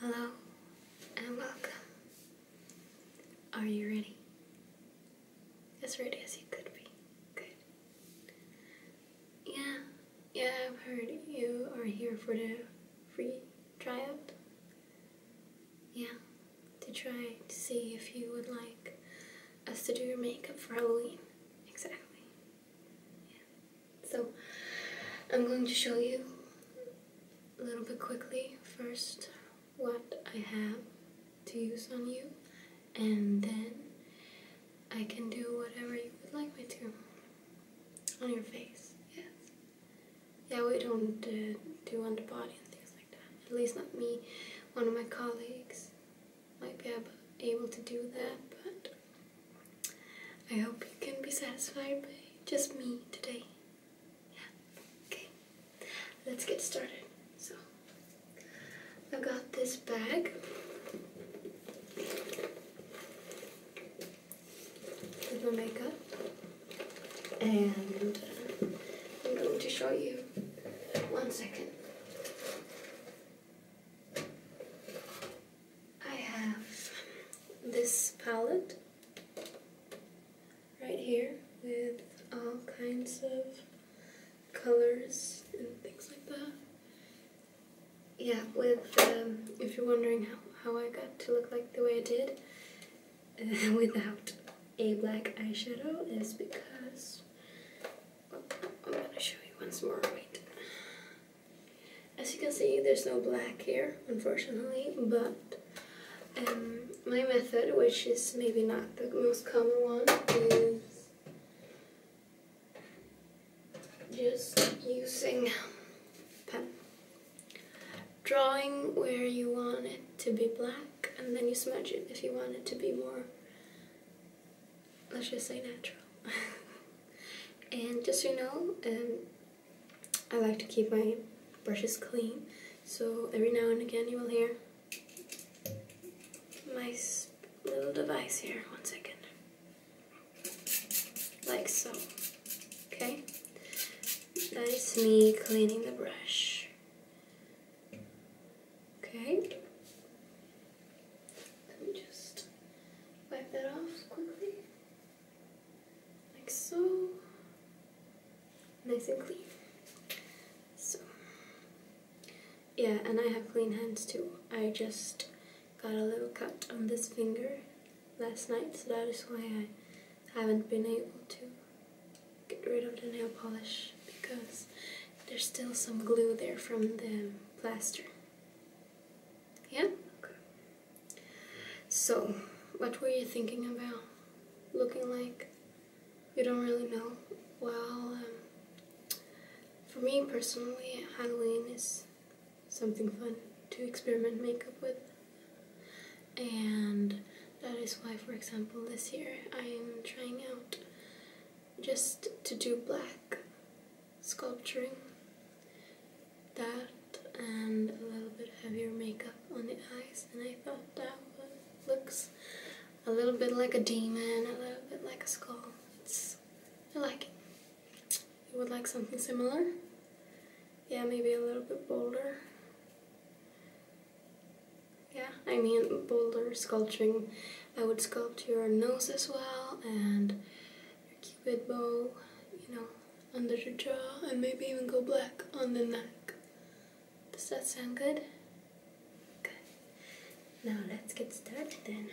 Hello and welcome. Are you ready? As ready as you could be. Good. Yeah, yeah, I've heard you are here for the free tryout. Yeah, to try to see if you would like us to do your makeup for Halloween. Exactly. Yeah. So I'm going to show you a little bit quickly first what I have to use on you and then I can do whatever you would like me to on your face, yes. Yeah, we don't uh, do on the body and things like that, at least not me. One of my colleagues might be able to do that, but I hope you can be satisfied by just me today. Yeah, okay. Let's get started. So, I got this bag. With my makeup. And uh, I'm going to show you. One second. I have this palette right here with all kinds of colors and things like that. Yeah, with, um, if you're wondering how, how I got to look like the way I did without a black eyeshadow is because, oh, I'm going to show you once more, as you can see, there's no black here, unfortunately, but um, my method, which is maybe not the most common one, is just using pen. Drawing where you want it to be black, and then you smudge it if you want it to be more, let's just say natural. and just you know, um, I like to keep my brushes clean, so every now and again you will hear my little device here. One second. Like so. Okay? That is me cleaning the brush. Okay? Let me just wipe that off quickly like so, nice and clean. So, yeah, and I have clean hands too. I just got a little cut on this finger last night, so that is why I haven't been able to get rid of the nail polish because there's still some glue there from the plaster. Yeah? So, what were you thinking about? Looking like you don't really know? Well, um, for me personally, Halloween is something fun to experiment makeup with. And that is why, for example, this year I am trying out just to do black sculpturing that and a little bit heavier makeup on the eyes and I thought that looks a little bit like a demon, a little bit like a skull. It's, I like it. You would like something similar? Yeah, maybe a little bit bolder. Yeah, I mean bolder sculpting. I would sculpt your nose as well and cupid bow, you know, under your jaw, and maybe even go black on the neck. Does that sound good? Good. Now let's get started then.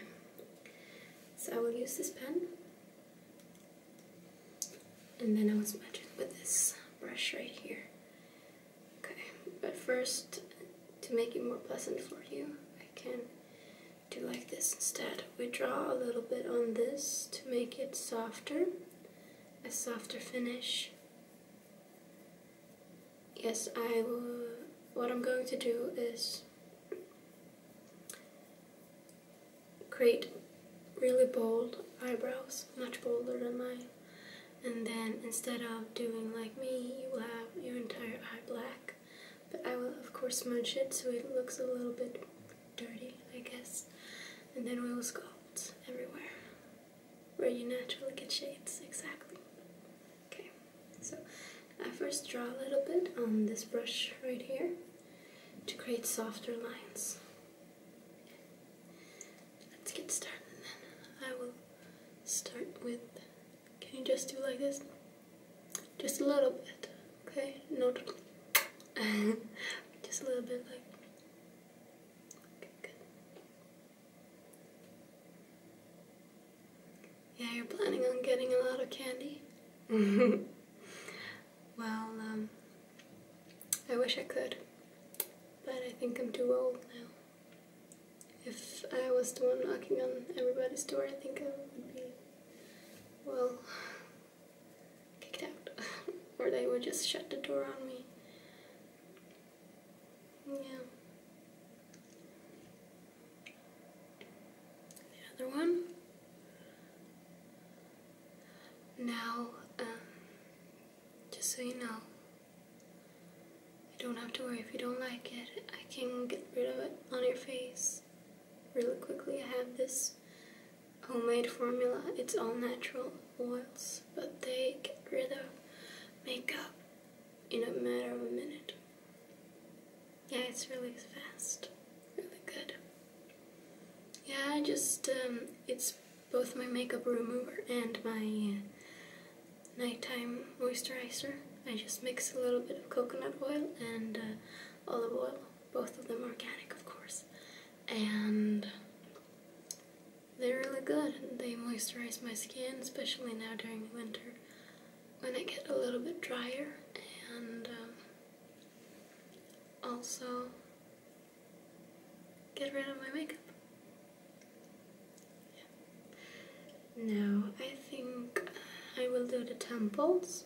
So I will use this pen, and then I will smudge it with this brush right here. Okay, but first, to make it more pleasant for you, I can do like this instead we draw a little bit on this to make it softer, a softer finish. Yes, I will, what I'm going to do is create really bold eyebrows, much bolder than mine. And then instead of doing like me, you will have your entire eye black. But I will of course smudge it so it looks a little bit dirty, I guess. And then we will sculpt everywhere where you naturally get shades, exactly. Okay, so I first draw a little bit on this brush right here to create softer lines. Let's get started then. I will start with, can you just do like this? Just a little bit. Okay, no, just a little bit like. Yeah, you're planning on getting a lot of candy. well, um, I wish I could, but I think I'm too old now. If I was the one knocking on everybody's door, I think I would be, well, kicked out, or they would just shut the door on me. Yeah. The other one. Now, um, just so you know, you don't have to worry if you don't like it. I can get rid of it on your face really quickly. I have this homemade formula. It's all natural oils, but they get rid of makeup in a matter of a minute. Yeah, it's really fast. Really good. Yeah, I just, um, it's both my makeup remover and my uh, nighttime moisturizer. I just mix a little bit of coconut oil and uh, olive oil. Both of them organic, of course. And they're really good. They moisturize my skin, especially now during the winter when I get a little bit drier. And um, also get rid of my makeup. Yeah. Now I think I will do the temples.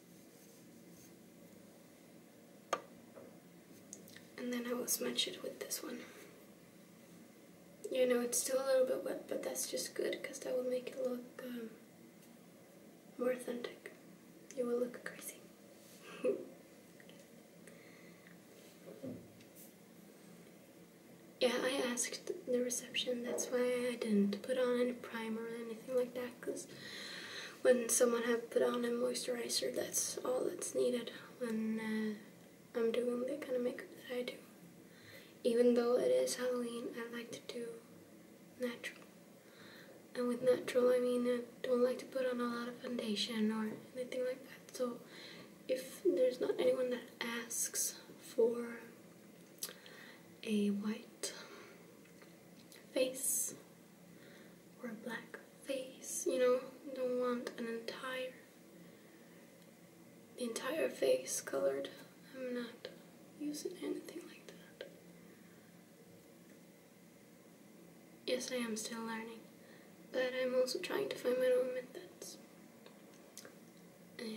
And then I will smudge it with this one. You know, it's still a little bit wet, but that's just good because that will make it look um, more authentic. It will look crazy. yeah, I asked the reception, that's why I didn't put on any primer or anything like that because when someone have put on a moisturizer, that's all that's needed when uh, I'm doing the kind of makeup that I do. Even though it is Halloween, I like to do natural. And with natural, I mean I don't like to put on a lot of foundation or anything like that. So if there's not anyone that asks for a white face or a black face, you know? don't want an entire, the entire face colored. I'm not using anything like that. Yes, I am still learning, but I'm also trying to find my own methods. And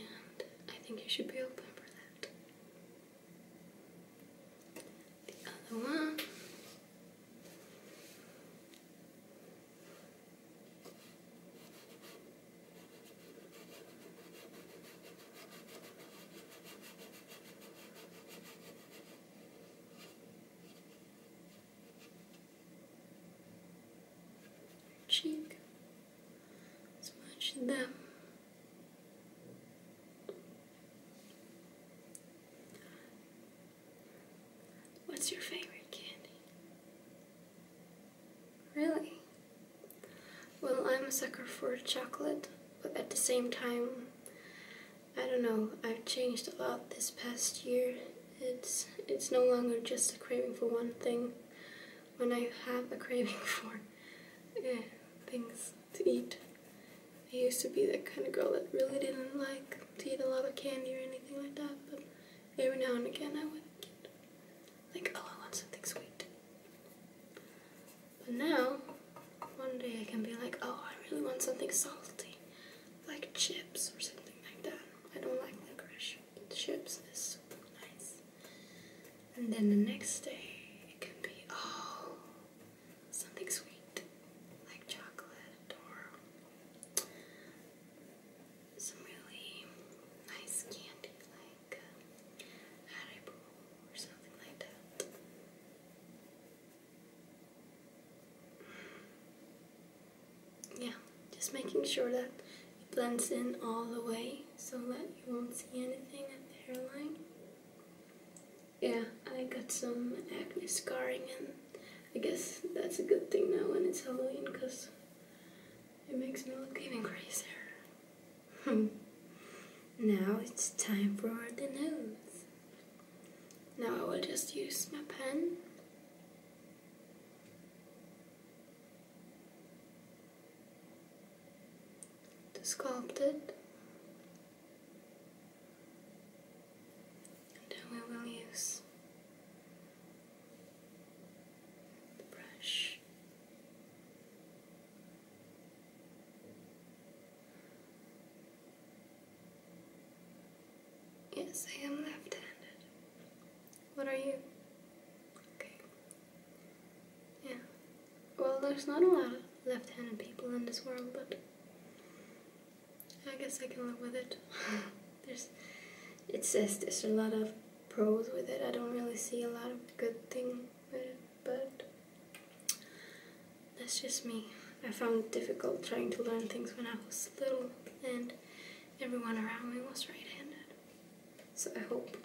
I think I should be open for that. The other one. cheek smudge them What's your favorite candy? Really? Well, I'm a sucker for chocolate, but at the same time, I don't know, I've changed a lot this past year. It's, it's no longer just a craving for one thing when I have a craving for uh, things to eat. I used to be that kind of girl that really didn't like to eat a lot of candy or anything like that, but every now and again I would like, oh, I want something sweet. But now, one day I can be like, oh, I really want something salty, like chips or something like that. I don't like licorice. Chips is super nice. And then the next day, it could be, oh, something sweet, like chocolate or some really nice candy, like uh, Haribo or something like that. Yeah, just making sure that it blends in all the way so that you won't see anything at the hairline yeah, I got some acne scarring, and I guess that's a good thing now when it's Halloween because it makes me look even crazier. now it's time for the nose. Now I will just use my pen to sculpt it. then we will use the brush yes I am left-handed what are you okay yeah. Well, there's not a lot of left handed people in this world, but I guess I can live with it. there's, it says there's a lot of pros with it. I don't really see a lot of good thing with it, but that's just me. I found it difficult trying to learn things when I was little, and everyone around me was right handed. So I hope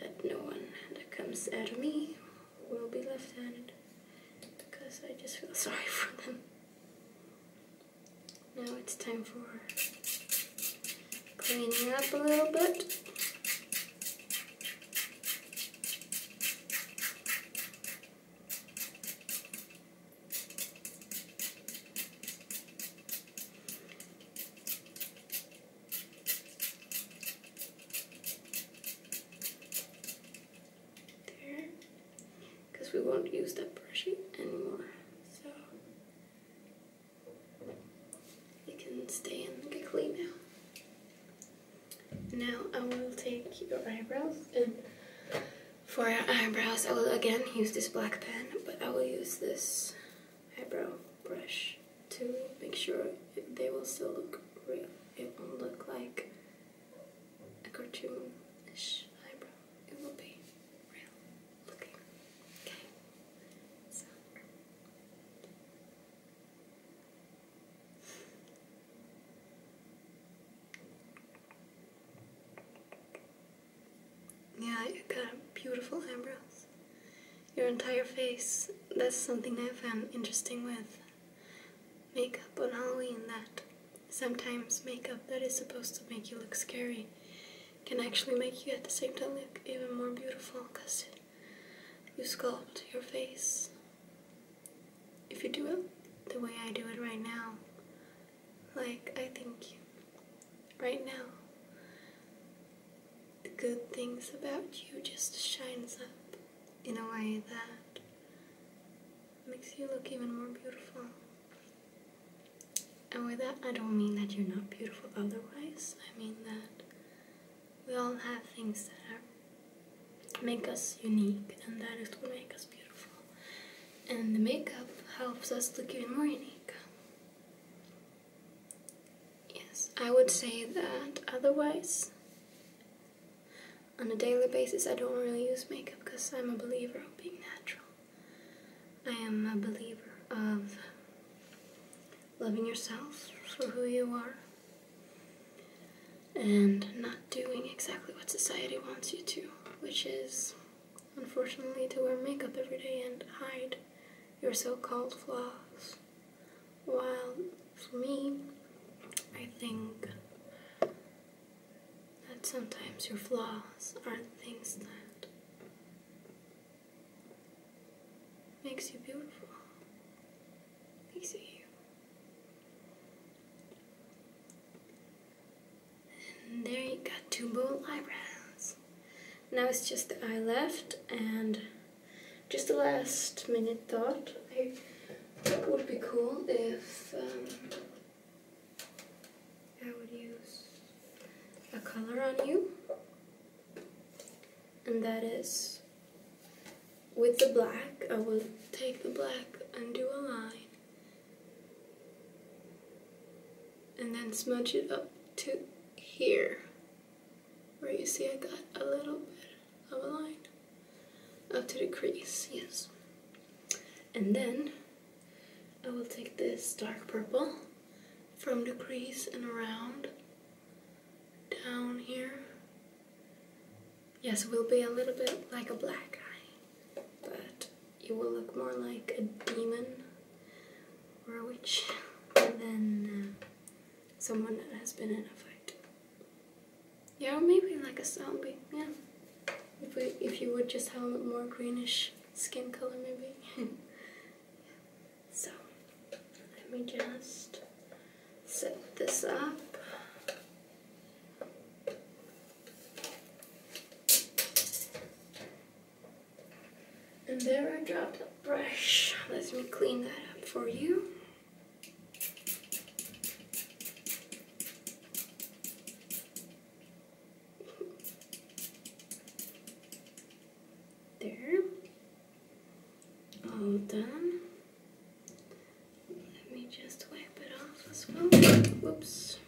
that no one that comes at me will be left-handed because I just feel sorry for them. Now it's time for cleaning up a little bit. There. Because we won't use that brushy anymore. So it can stay and get clean now. Now I will take your eyebrows and for your eyebrows I will again use this black pen but I will use this eyebrow brush to make sure they will still look real. It won't look like a cartoonish eyebrow. It will be real looking. Okay. So yeah, you got beautiful eyebrows your entire face. That's something I found interesting with makeup on Halloween that sometimes makeup that is supposed to make you look scary can actually make you at the same time look even more beautiful because you sculpt your face. If you do it the way I do it right now, like I think right now, the good things about you just shines up in a way that makes you look even more beautiful. And with that, I don't mean that you're not beautiful otherwise. I mean that we all have things that make us unique, and that is what makes us beautiful. And the makeup helps us look even more unique. Yes, I would say that otherwise, on a daily basis, I don't really use makeup because I'm a believer of being natural. I am a believer of loving yourself for who you are and not doing exactly what society wants you to, which is unfortunately to wear makeup every day and hide your so called flaws. Well, for me, I think that sometimes your flaws are not things that makes you beautiful, makes you you. there you got two bold eyebrows. Now it's just the eye left and just a last minute thought. I, it would be cool if um, I would use a color on you, and that is with the black. I will take the black and do a line, and then smudge it up to here where you see I got a little bit of a line up to the crease, yes. And then I will take this dark purple from the crease and around down here. Yes, it will be a little bit like a black eye, but it will look more like a demon or a witch. than. Uh, someone that has been in a fight. Yeah, or maybe like a zombie. Yeah, if we, if you would just have a more greenish skin color, maybe. So let me just set this up. And there I dropped a brush. Let me clean that up for you. There. All done. Let me just wipe it off as well. Whoops.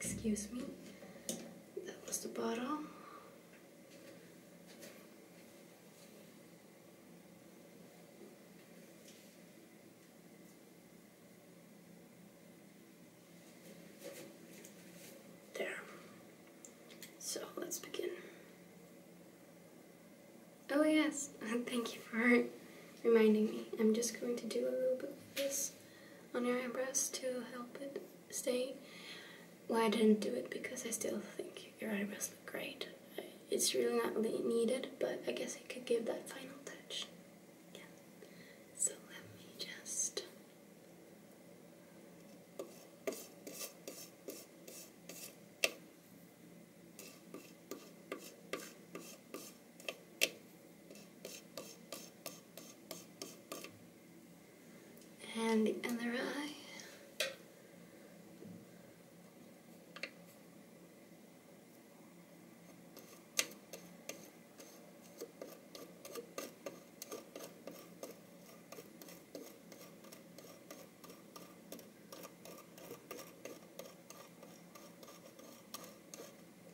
Excuse me. That was the bottle. There. So let's begin. Oh yes, thank you for reminding me. I'm just going to do a little bit of this on your breast to help it stay why I didn't do it because I still think your eyebrows look great. It's really not needed, but I guess it could give that final touch. Yeah. So let me just and the other eye.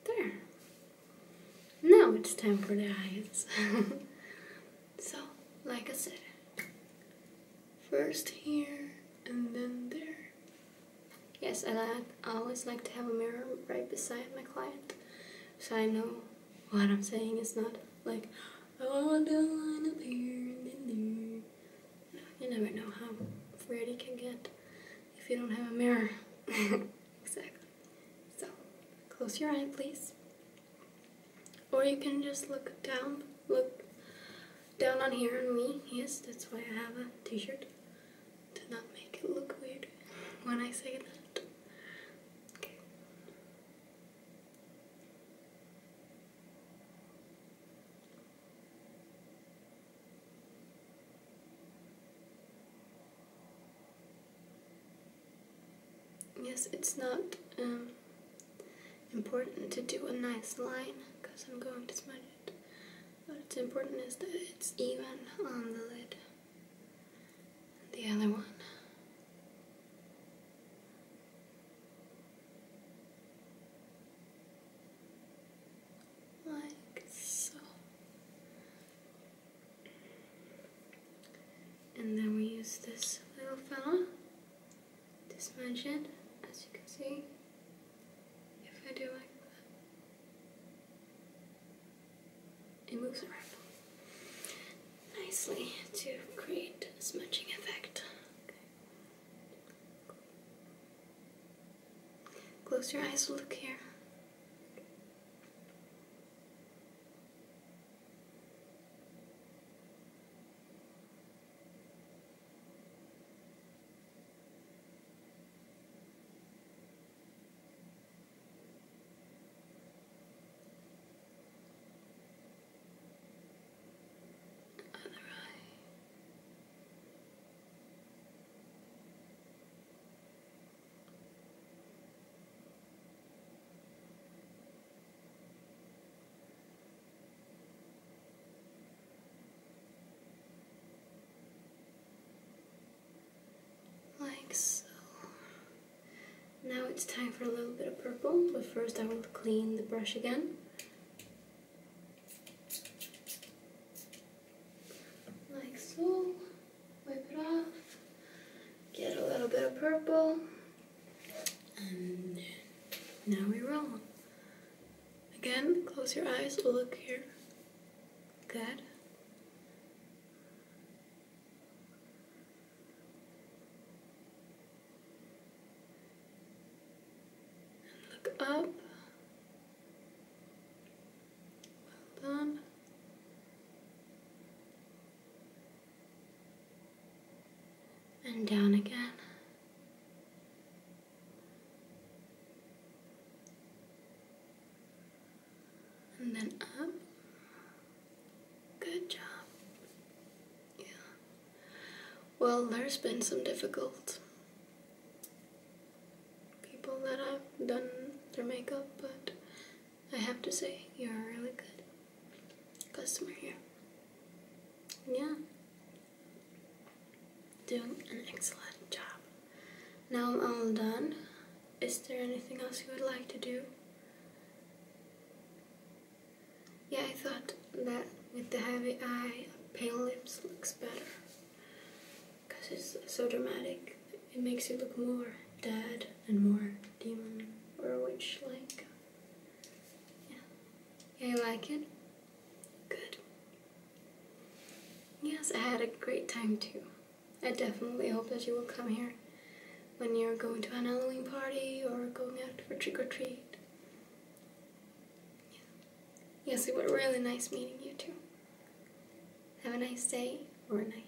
There. Now it's time for the eyes. So, like I said, first here and then there. Yes, I, I always like to have a mirror right beside my client so I know what I'm saying is not like, oh, I want a line up here and then there. you never know how Freddy can get if you don't have a mirror. exactly. So, close your eye, please. Or you can just look down, look down on here on me. Yes, that's why I have a t-shirt. To not make it look weird when I say that. Okay. Yes, it's not um, important to do a nice line because I'm going to smudge it. What's important is that it's even on the lid. The other one. Like so. And then we use this little fella dismansion, as you can see, if I do like that, it moves around nicely to create a smudging effect. Close your eyes, look here. Other eye. Right. Like so. Now it's time for a little bit of purple, but first I will clean the brush again. Like so. Wipe it off. Get a little bit of purple. And now we roll. Again, close your eyes, look here. Good. Look up. Well done and down again. And then up. Good job. Yeah. Well, there's been some difficult people that I've done their makeup, but I have to say, you're really good customer here. Yeah. Doing an excellent job. Now I'm all done. Is there anything else you would like to do? Yeah, I thought that with the heavy eye, pale lips looks better. Because it's so dramatic. It makes you look more dead and more demon or witch-like. Yeah. You like it? Good. Yes, I had a great time too. I definitely hope that you will come here when you're going to an Halloween party or going out for trick or treat. Yes, it was really nice meeting you too. Have a nice day or night.